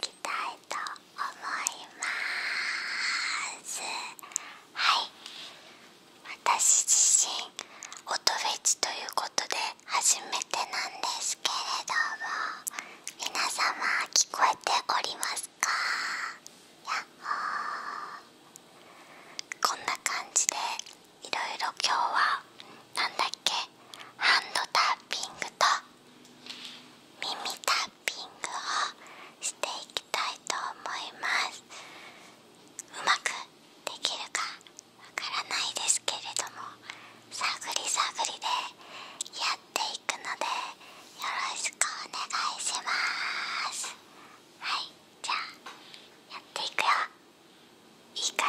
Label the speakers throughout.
Speaker 1: きたいと思いますはい私自身音フェチということで初めてなんですけれども皆様聞こえておりますかやっほこんな感じでいろいろ今日はなんだっけハンドタッピングと耳タッピングをしていきたいと思いますうまくできるかわからないですけれども探り探りでやっていくのでよろしくお願いしますはいじゃあやっていくよいいかい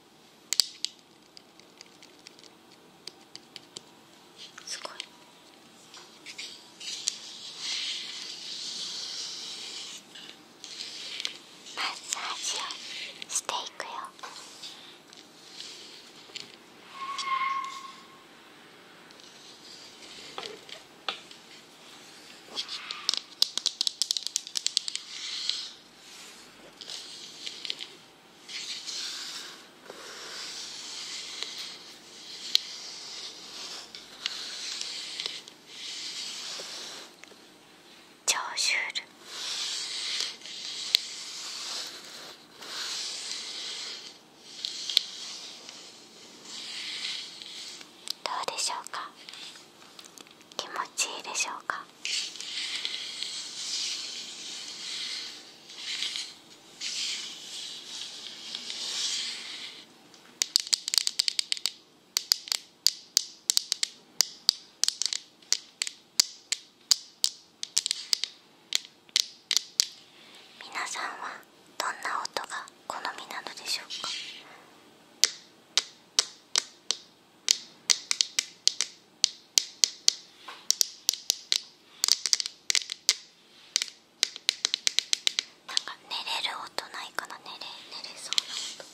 Speaker 1: すごいマッサージをしていくよ超シュールどうでしょうか気持ちいいでしょうか皆さんはどんな音が好みなのでしょうかなんか寝れる音ないかな寝れ寝れそうな音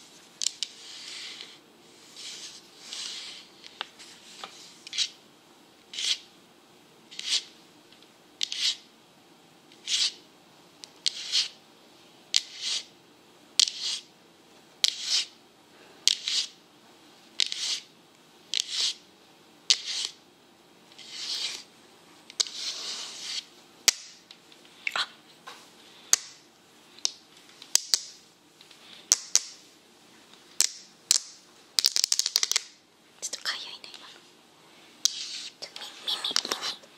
Speaker 1: ちょっとかゆいね今の耳耳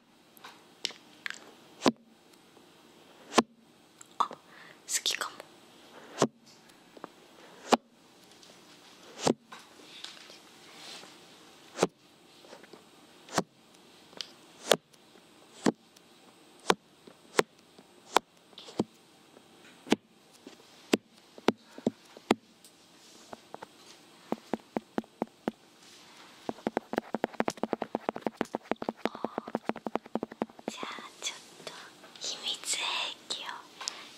Speaker 1: あ好きかもじゃあちょっと秘密兵器を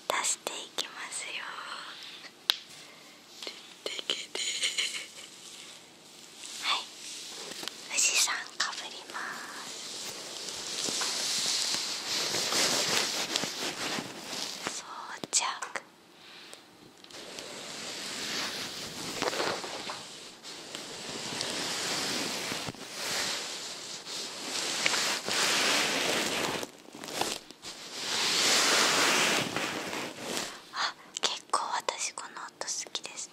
Speaker 1: 出していきますよはい富士山かぶります装着あ結構私この音好きですね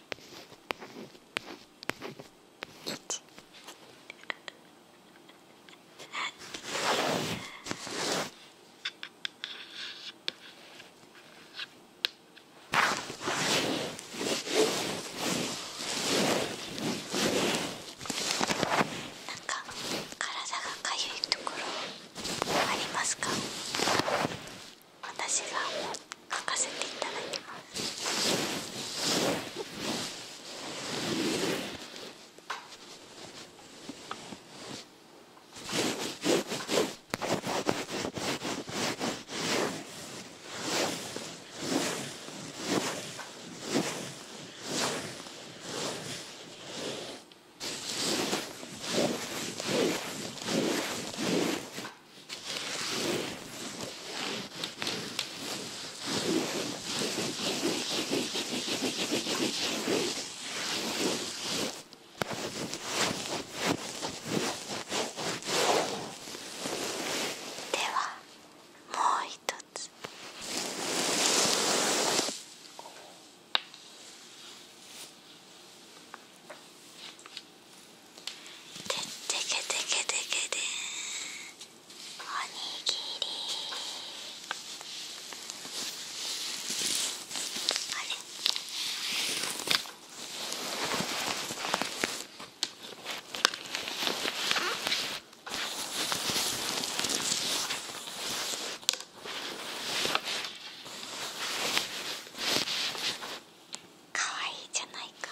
Speaker 1: なんか体がかゆいところありますか？私が書かせていただきますではもう一つ。ててけてけてけておにぎりあれかわいいじゃないか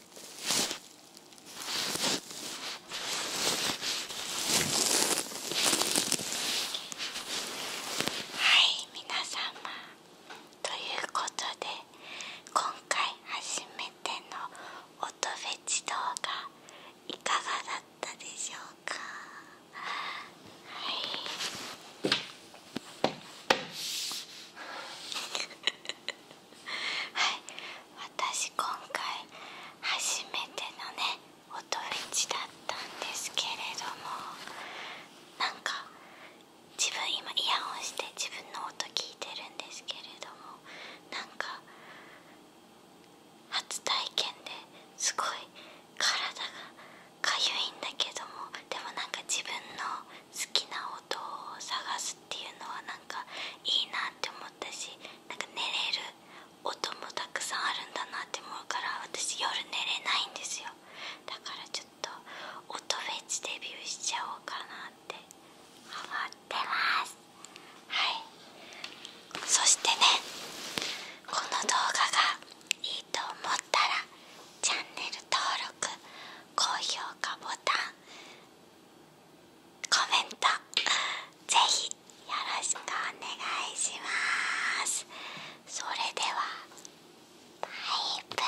Speaker 1: はい皆様ということで今回初めての音フェチ動画いかがだったでしょうかはいはい私今回初めてのね音レェチだったんですけれどもなんか自分今イヤホンして自分の音聞いてるんですけれどもなんか初体験ですごい体がかゆいんだけどもでもなんか自分の好きな音を探すっていうのはなんかいいなって思ったしなんか寝れる音もたくさんあるんだなって思うから私夜寝れないんですよだからちょっと音フェチデビューしちゃおうかなって思ってますはいそしてねこの動画がいいと思ったらチャンネル登録高評価ボタンコメントぜひよろしくお願いしますそれではバイブリー